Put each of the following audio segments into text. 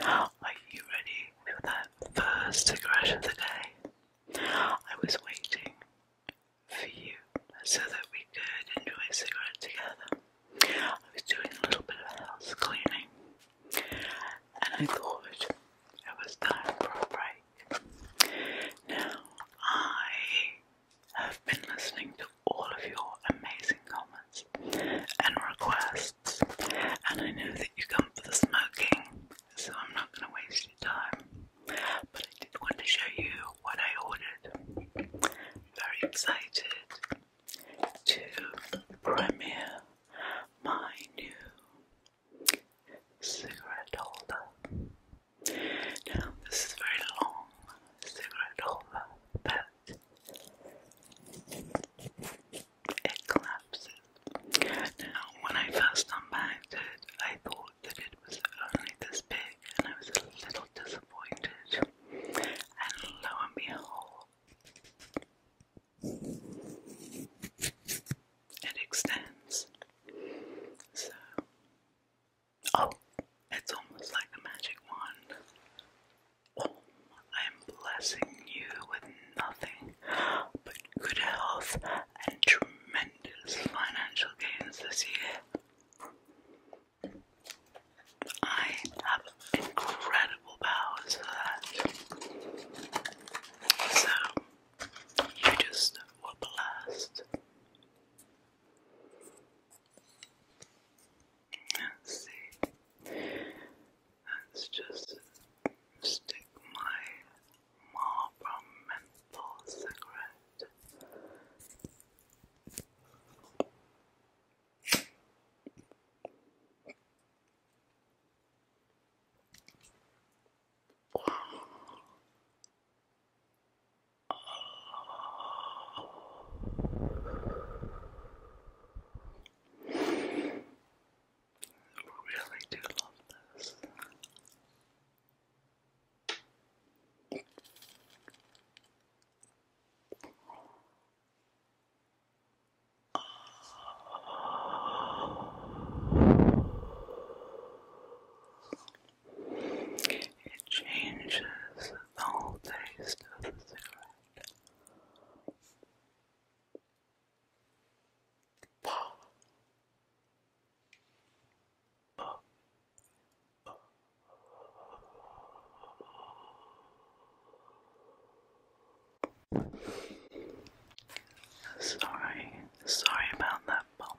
Are you ready for that first cigarette of the day? I was waiting for you so that we could enjoy a cigarette together. I was doing a little bit of house cleaning and I thought it was time for a break. Now, I have been listening to all of your amazing comments and requests and I know that you come for the smoking, so I'm not going to waste your time. But I did want to show you what I ordered. Very excited to premiere my new cigarette holder. Now, this is a very long cigarette holder that it collapses. Now, when I first unpacked it, I thought that it was only this big, and I was a little disappointed. And lo and behold, it extends. So, oh, it's almost like a magic wand. I am blessing you with nothing but good health and tremendous financial gains this year. I have incredible powers for that. So, you just were blessed. See, let's just stick my Marlboro menthol cigarette really do love this. It changes the whole taste of the cigarette. Pop. Pop. Sorry, sorry about that bump.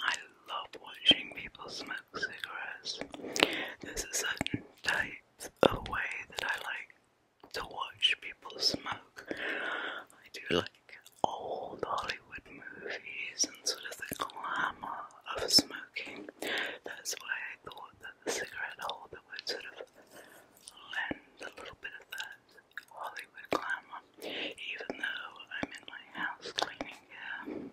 I love watching people smoke cigarettes. There's a certain type a way that I like to watch people smoke. I do like old Hollywood movies and sort of the glamour of smoking. That's why I thought that the cigarette holder would sort of lend a little bit of that Hollywood glamour, even though I'm in my house cleaning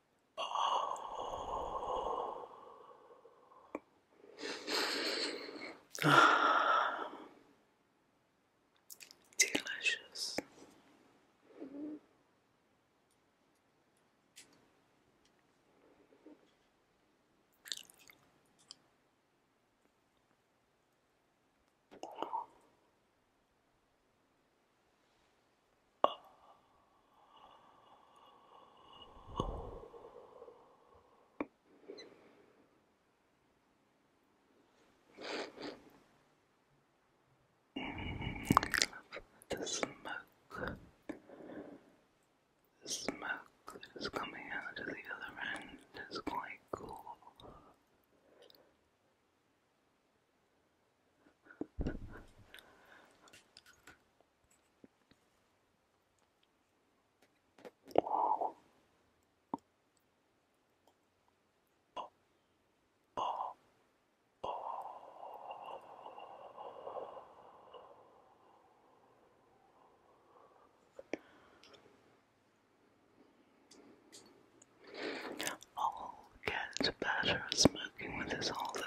Oh. Delicious. I love the smoke. The smoke that is coming out of the other end is quite cool. All cats better smoking with his holder.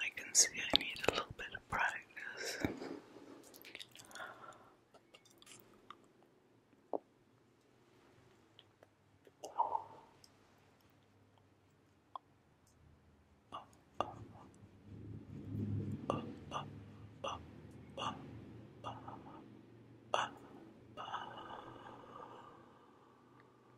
I can see I need a little bit of practice.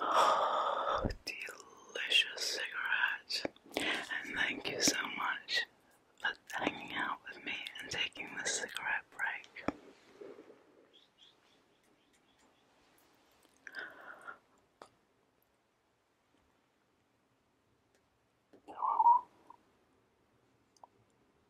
Oh, delicious cigarette. And thank you so much for hanging out with me and taking this cigarette break.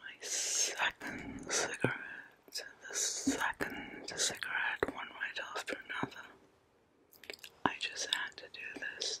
My second cigarette, the second cigarette, one right after another. I just had to do this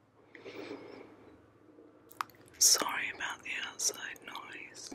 Sorry about the outside noise.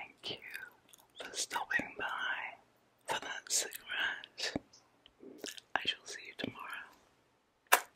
Thank you for stopping by for that cigarette. I shall see you tomorrow.